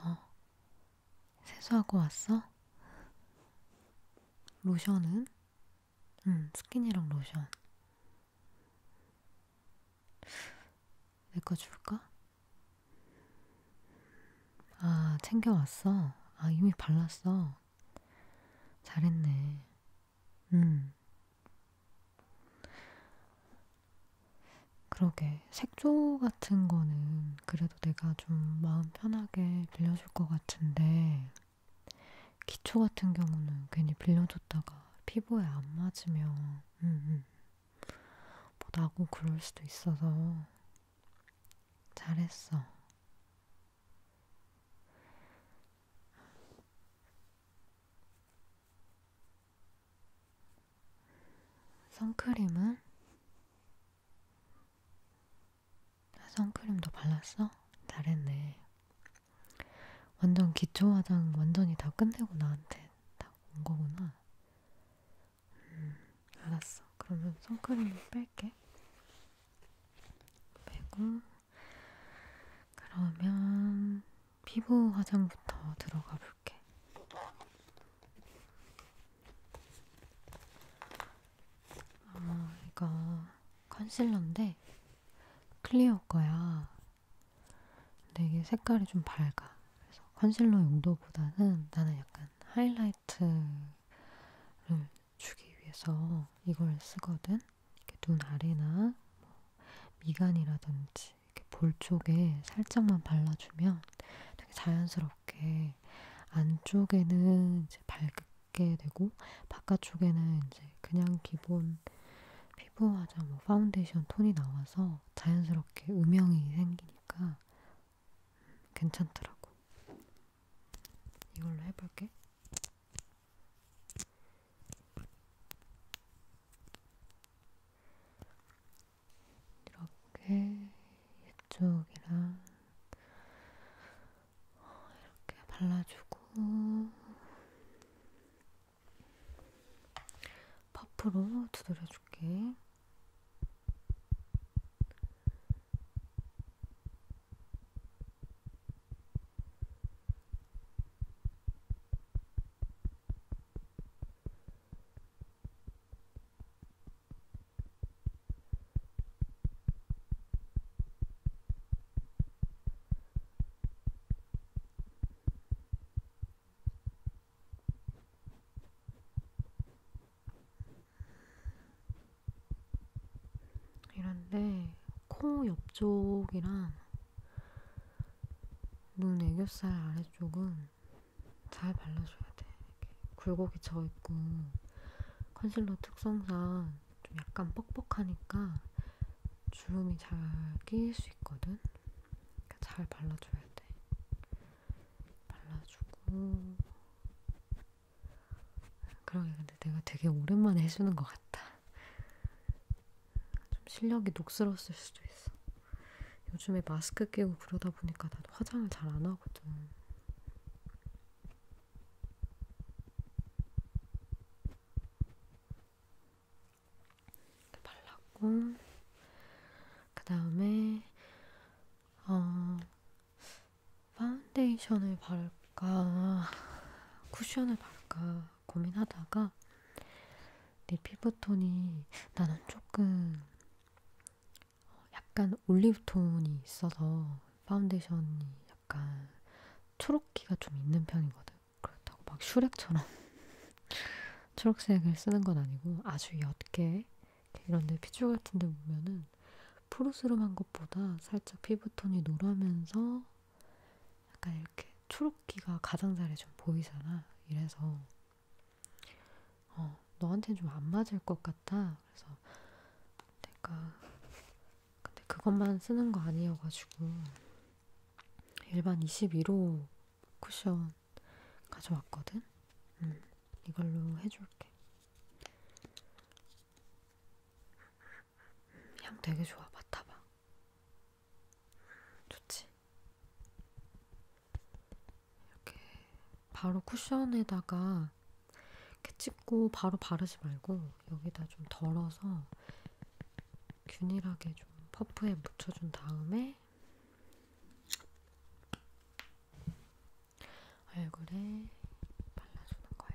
어, 세수하고 왔어? 로션은? 응, 스킨이랑 로션. 내 거 줄까? 아, 챙겨왔어? 아, 이미 발랐어. 잘했네. 응. 그러게 색조 같은 거는 그래도 내가 좀 마음 편하게 빌려줄 것 같은데 기초 같은 경우는 괜히 빌려줬다가 피부에 안 맞으면 음, 음. 뭐 나고 그럴 수도 있어서 잘했어. 선크림은? 아, 선크림도 발랐어? 잘했네. 완전 기초 화장 완전히 다 끝내고 나한테 딱온 거구나. 음, 알았어. 그러면 선크림을 뺄게. 빼고, 그러면 피부 화장부터 들어가 볼게. 이렇게. 아, 이거 컨실러인데 클리어 거야. 근데 이게 색깔이 좀 밝아. 그래서 컨실러 용도보다는 나는 약간 하이라이트를 주기 위해서 이걸 쓰거든. 이렇게 눈 아래나 뭐 미간이라든지 이렇게 볼 쪽에 살짝만 발라주면 되게 자연스럽게 안쪽에는 이제 밝게 되고 바깥쪽에는 이제 그냥 기본 피부 화장 뭐 파운데이션 톤이 나와서 자연스럽게 음영이 생기니까 괜찮더라고. 이걸로 해볼게. 이렇게 이쪽이랑 어, 이렇게 발라주고 퍼프로 두드려줄게. 이런데 코 옆쪽이랑 눈 애교살 아래쪽은 잘 발라줘야 돼. 이렇게 굴곡이 져있고 컨실러 특성상 좀 약간 뻑뻑하니까 주름이 잘 끼일 수 있거든. 그러니까 잘 발라줘야 돼. 발라주고 그러게 근데 내가 되게 오랜만에 해주는 것 같다. 좀 실력이 녹슬었을 수도 있어. 요즘에 마스크 끼고 그러다 보니까 나도 화장을 잘 안 하거든. 이렇게 발랐고, 그 다음에, 어, 파운데이션을 바를까, 쿠션을 바를까, 고민하다가 내 피부톤이 나는 조금 약간 올리브톤이 있어서 파운데이션이 약간 초록기가 좀 있는 편이거든. 그렇다고 막 슈렉처럼 초록색을 쓰는 건 아니고 아주 옅게 이런데 피줄 같은 데 보면은 푸르스름한 것보다 살짝 피부톤이 노라면서 약간 이렇게 초록기가 가장자리에 좀 보이잖아. 이래서 어, 너한테는 좀 안 맞을 것 같아. 그래서 내가 근데 그것만 쓰는 거 아니어가지고 일반 21호 쿠션 가져왔거든. 음, 이걸로 해줄게. 음, 향 되게 좋아. 맡아봐. 좋지? 이렇게 바로 쿠션에다가 이렇게 찍고 바로 바르지 말고 여기다 좀 덜어서 균일하게 좀 퍼프에 묻혀준 다음에 얼굴에 발라주는 거야.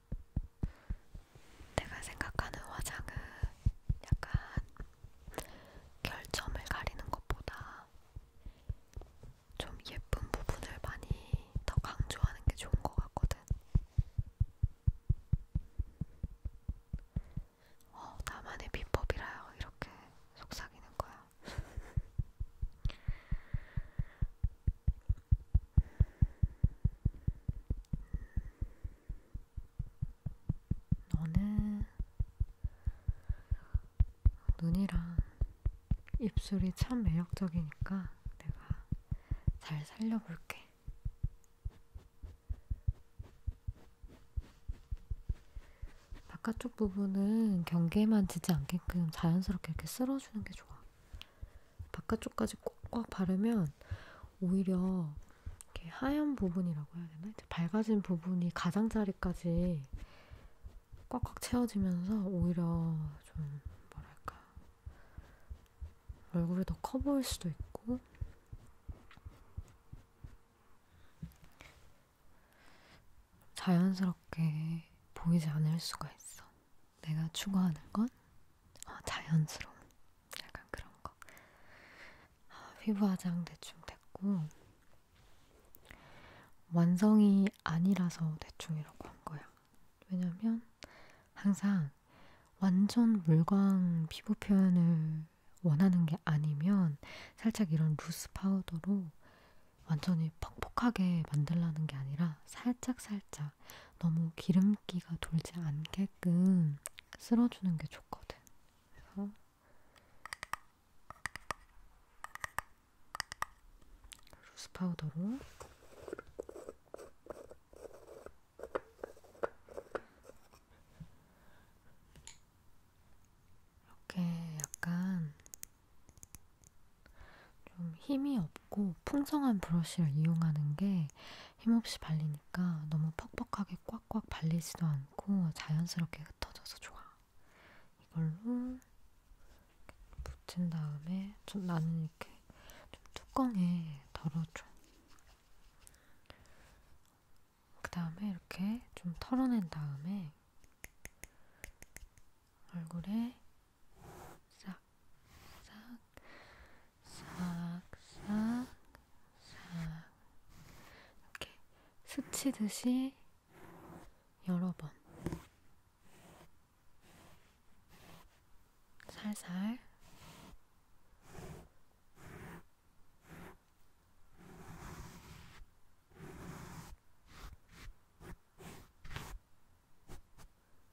내가 생각하는 화장은 약간 결점을 가리는 것보다 좀 예쁜 부분을 많이 더 강조하는 게 좋은 것 같거든. 어, 나만의 비법이라요. 이렇게 속삭이는 거야. 너는 눈이랑 입술이 참 매력적이니까 내가 잘 살려볼게. 바깥쪽 부분은 경계만 지지 않게끔 자연스럽게 이렇게 쓸어주는 게 좋아. 바깥쪽까지 꽉꽉 바르면 오히려 이렇게 하얀 부분이라고 해야 되나? 밝아진 부분이 가장자리까지 꽉꽉 채워지면서 오히려 좀 뭐랄까 얼굴이 더 커 보일 수도 있고 자연스럽게 보이지 않을 수가 있어. 내가 추구하는 건 어, 자연스러운 약간 그런 거. 어, 피부 화장 대충 됐고 완성이 아니라서 대충이라고 한 거야. 왜냐면 항상 완전 물광 피부 표현을 원하는 게 아니면 살짝 이런 루스 파우더로 완전히 퍽퍽하게 만들라는 게 아니라 살짝살짝 거야. 너무 기름기가 돌지 않게끔 쓸어주는 게 좋거든. 그래서 루스 파우더로 이렇게 약간 좀 힘이 없고 풍성한 브러쉬를 이용하는 게 힘없이 발리니까 너무 퍽퍽하게 꽉꽉 발리지도 않고 자연스럽게 흩어져서 좋아. 이걸로 붙인 다음에 좀 나는 이렇게 좀 뚜껑에 덜어줘. 그 다음에 이렇게 좀 털어낸 다음에 얼굴에 싹, 싹, 싹, 싹, 싹. 이렇게 스치듯이 여러 번. 살살.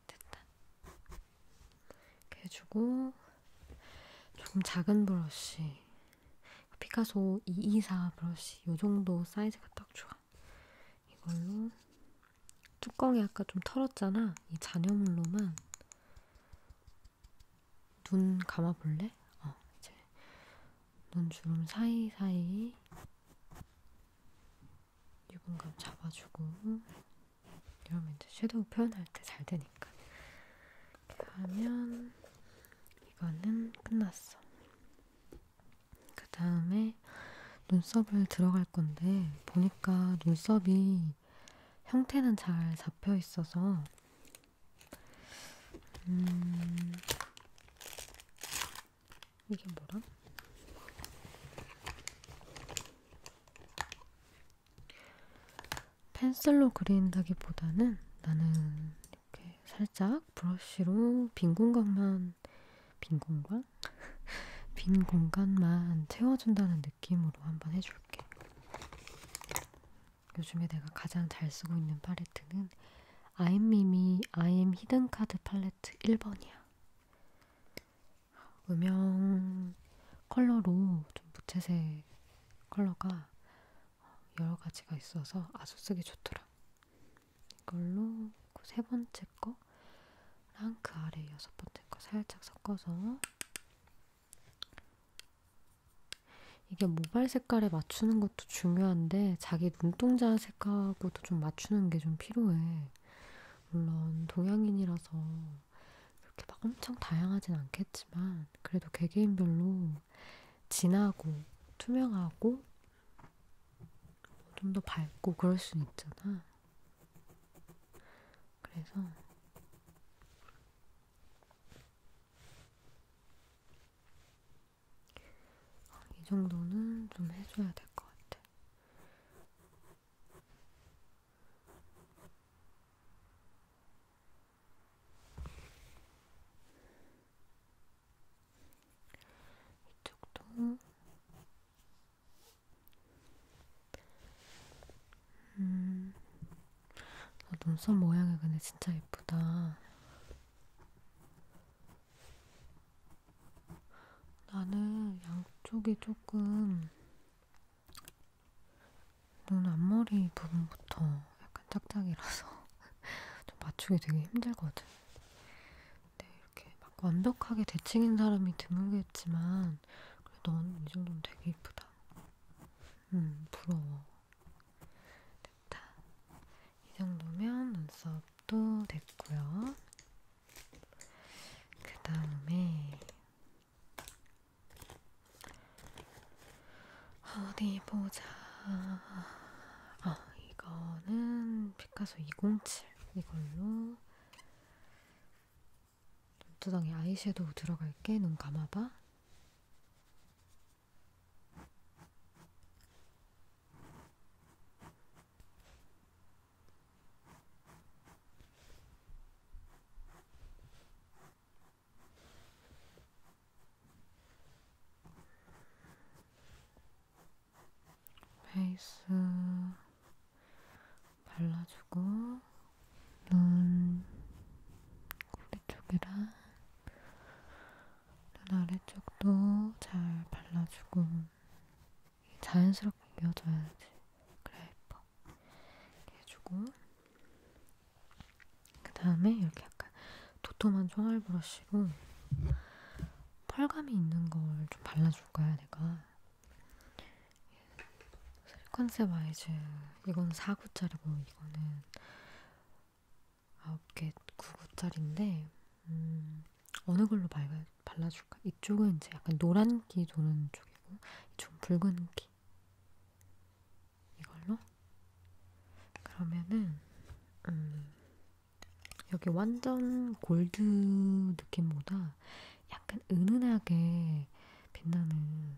됐다. 이렇게 해주고 조금 작은 브러쉬 피카소 224 브러쉬 이 정도 사이즈가 딱 좋아. 이걸로 뚜껑이 아까 좀 털었잖아. 이 잔여물로만 눈 감아볼래? 어, 이제 눈 주름 사이사이 유분감 잡아주고 이러면 이제 섀도우 표현할 때 잘 되니까 이렇게 하면 이거는 끝났어 그 다음에 눈썹을 들어갈 건데 보니까 눈썹이 형태는 잘 잡혀 있어서 음 이게 뭐라? 펜슬로 그린다기보다는 나는 이렇게 살짝 브러쉬로 빈 공간만 빈 공간? 빈 공간만 채워준다는 느낌으로 한번 해줄게. 요즘에 내가 가장 잘 쓰고 있는 팔레트는 아이엠미미 아이엠 히든카드 팔레트 1번이야. 음영 컬러로 좀 무채색 컬러가 여러 가지가 있어서 아주 쓰기 좋더라. 이걸로 그세 번째 거랑 그 아래 여섯 번째 거 살짝 섞어서 이게 모발 색깔에 맞추는 것도 중요한데 자기 눈동자 색하고도 좀 맞추는 게 좀 필요해. 물론 동양인이라서 그렇게 막 엄청 다양하진 않겠지만 그래도 개개인별로 진하고 투명하고 좀 더 밝고 그럴 수 있잖아. 그래서 어, 이 정도는 좀 해줘야 될 것 같아. 이쪽도 음, 눈썹 모양이 근데 진짜 예쁘다. 나는 양쪽이 조금 눈 앞머리 부분부터 약간 짝짝이라서 좀 맞추기 되게 힘들거든. 근데 이렇게 막 완벽하게 대칭인 사람이 드물겠지만 그래도 너는 이 정도면 되게 이쁘다. 음 부러워. 됐다. 이 정도면 눈썹도 됐고요. 그 다음에 어디 보자. 아, 이거는 피카소 207 이걸로 눈두덩이 아이섀도우 들어갈게. 눈 감아봐. 베이스 발라주고 눈 꼬리 쪽이랑 눈 아래쪽도 잘 발라주고 자연스럽게 이어져야지. 그래 예뻐. 이렇게 해주고 그 다음에 이렇게 약간 도톰한 총알 브러쉬로 펄감이 있는 걸 좀 발라줄 거야 내가. 예. 컨셉 와이즈 이건 4구짜리고 이거는 9개 9구짜리인데 음, 어느 걸로 발라, 발라줄까? 이쪽은 이제 약간 노란기 도는 쪽이고, 이쪽은 붉은기. 이걸로? 그러면은, 음, 여기 완전 골드 느낌보다 약간 은은하게 빛나는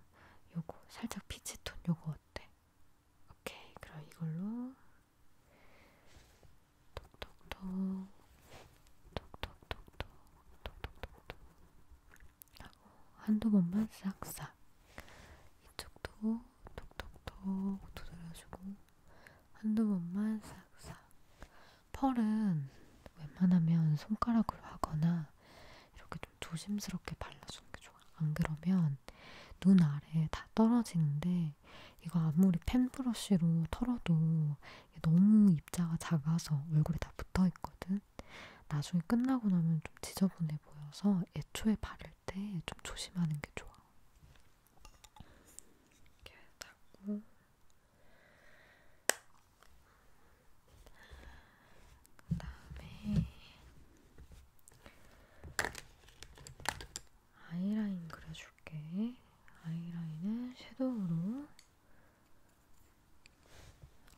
요거, 살짝 피치톤 요거 어때? 오케이, 그럼 이걸로 톡톡톡 톡톡톡톡 톡톡톡톡 하고 한두 번만 싹싹 이쪽도 톡톡톡 두드려주고 한두 번만 싹싹 펄은 웬만하면 손가락으로 하거나 이렇게 좀 조심스럽게 발라주는 게 좋아. 안 그러면 눈 아래 다 떨어지는데 이거 아무리 펜 브러쉬로 털어도 너무 입자가 작아서 얼굴에 다 붙어있거든. 나중에 끝나고 나면 좀 지저분해 보여서 애초에 바를 때 좀 조심하는 게 좋아. 이렇게 닦고 그 다음에 아이라인 그려줄게. 아이라인은 섀도우로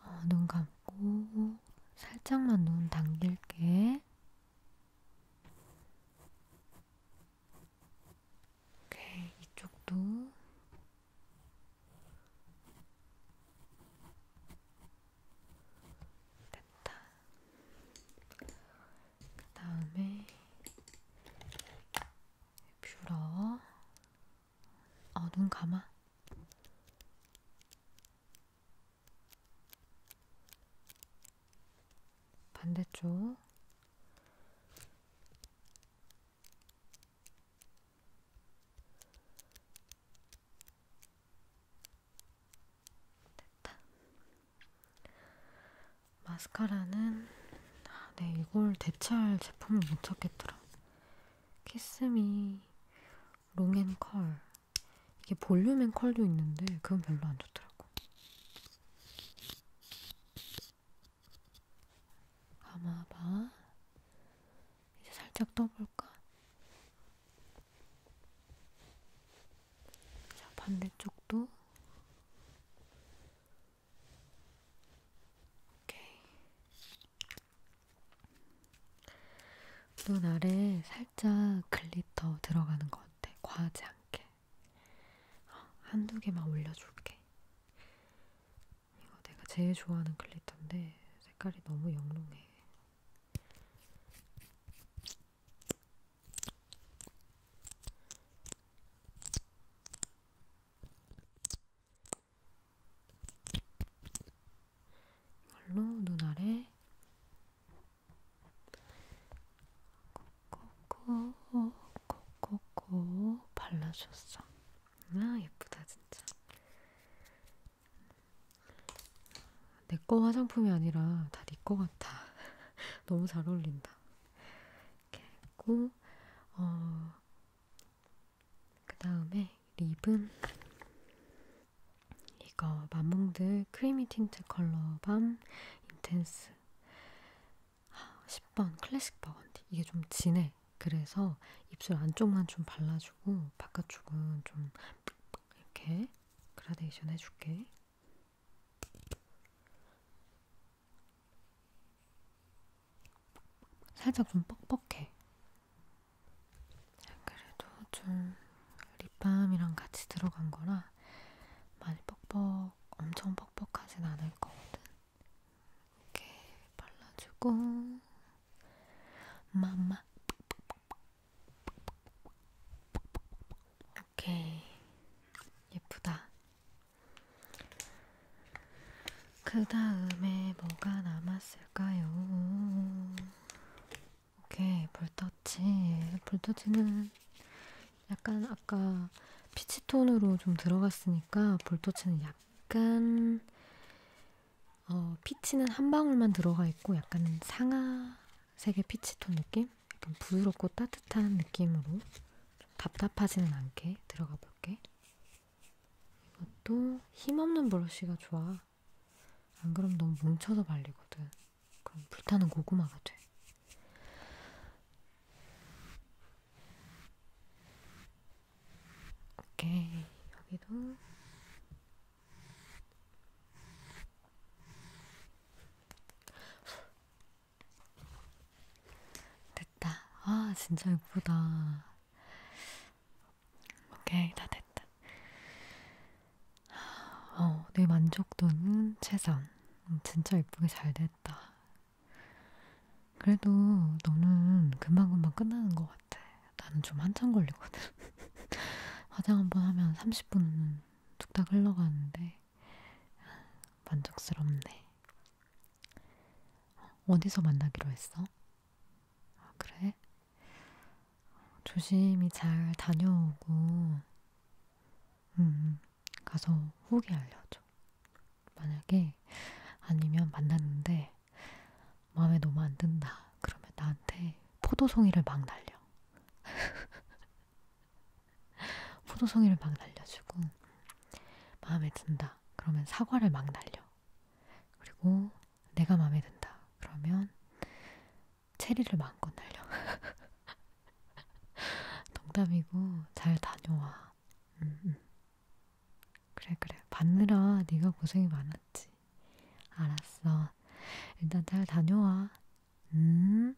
어, 눈 감고 살짝만 눈 당길게. 오케이, 이쪽도. 됐다. 그 다음에 뷰러. 어, 눈 감아. 반대쪽. 됐다. 마스카라는 아, 네 이걸 대체할 제품을 못 찾겠더라. 키스미 롱앤컬 이게 볼륨앤컬도 있는데 그건 별로 안 좋더라고. 감아봐. 이제 살짝 떠볼까? 자, 반대쪽도 오케이. 눈 아래 살짝 글리터 들어가는 것 같아. 과하지 않게. 한두 개만 올려줄게. 이거 내가 제일 좋아하는 글리터인데 색깔이 너무 영롱해. 말로 눈 아래 코코코코코코 발라줬어. 아 예쁘다 진짜. 내 거 화장품이 아니라 다네거 같아. 너무 잘 어울린다. 이렇게 했고, 어, 그 다음에 립은 이거 맘몽드 크리미 틴트 컬러밤 인텐스 10번 클래식 버건디 이게 좀 진해 그래서 입술 안쪽만 좀 발라주고 바깥쪽은 좀 이렇게 그라데이션 해줄게 살짝 좀 뻑뻑해. 그래도 좀 립밤이랑 같이 들어간 거라 많이 뻑뻑, 엄청 뻑뻑하진 않을 거거든. 이렇게 발라주고, 맘마. 오케이. 예쁘다. 그 다음에 뭐가 남았을까요? 오케이, 볼터치. 볼터치는 약간 아까 피치톤으로 좀 들어갔으니까 볼터치는 약간 어, 피치는 한 방울만 들어가 있고 약간 상아색의 피치톤 느낌? 때는 약간 부드럽고 따뜻한 느낌으로 좀 답답하지는 않게 들어가 볼게. 이것도 힘없는 브러쉬가 좋아. 안 그럼 너무 뭉쳐서 발리거든. 그럼 불타는 고구마가 돼. 오케이. 여기도. 됐다. 아, 진짜 예쁘다. 오케이, 다 됐다. 어, 내 만족도는 최선. 음, 진짜 예쁘게 잘 됐다. 그래도 너는 금방금방 끝나는 것 같아. 나는 좀 한참 걸리거든. 화장 한 번 하면 30분 뚝딱 흘러가는데 만족스럽네. 어, 어디서 만나기로 했어? 아, 그래? 조심히 잘 다녀오고, 음, 음, 가서 후기 알려줘. 만약에 아니면 만났는데 마음에 너무 안 든다. 그러면 나한테 포도송이를 막 날려. 포도송이를 막 날려주고 마음에 든다 그러면 사과를 막 날려 그리고 내가 마음에 든다 그러면 체리를 마음껏 날려 농담이고 잘 다녀와 음, 음. 그래 그래 받느라 네가 고생이 많았지 알았어 일단 잘 다녀와 음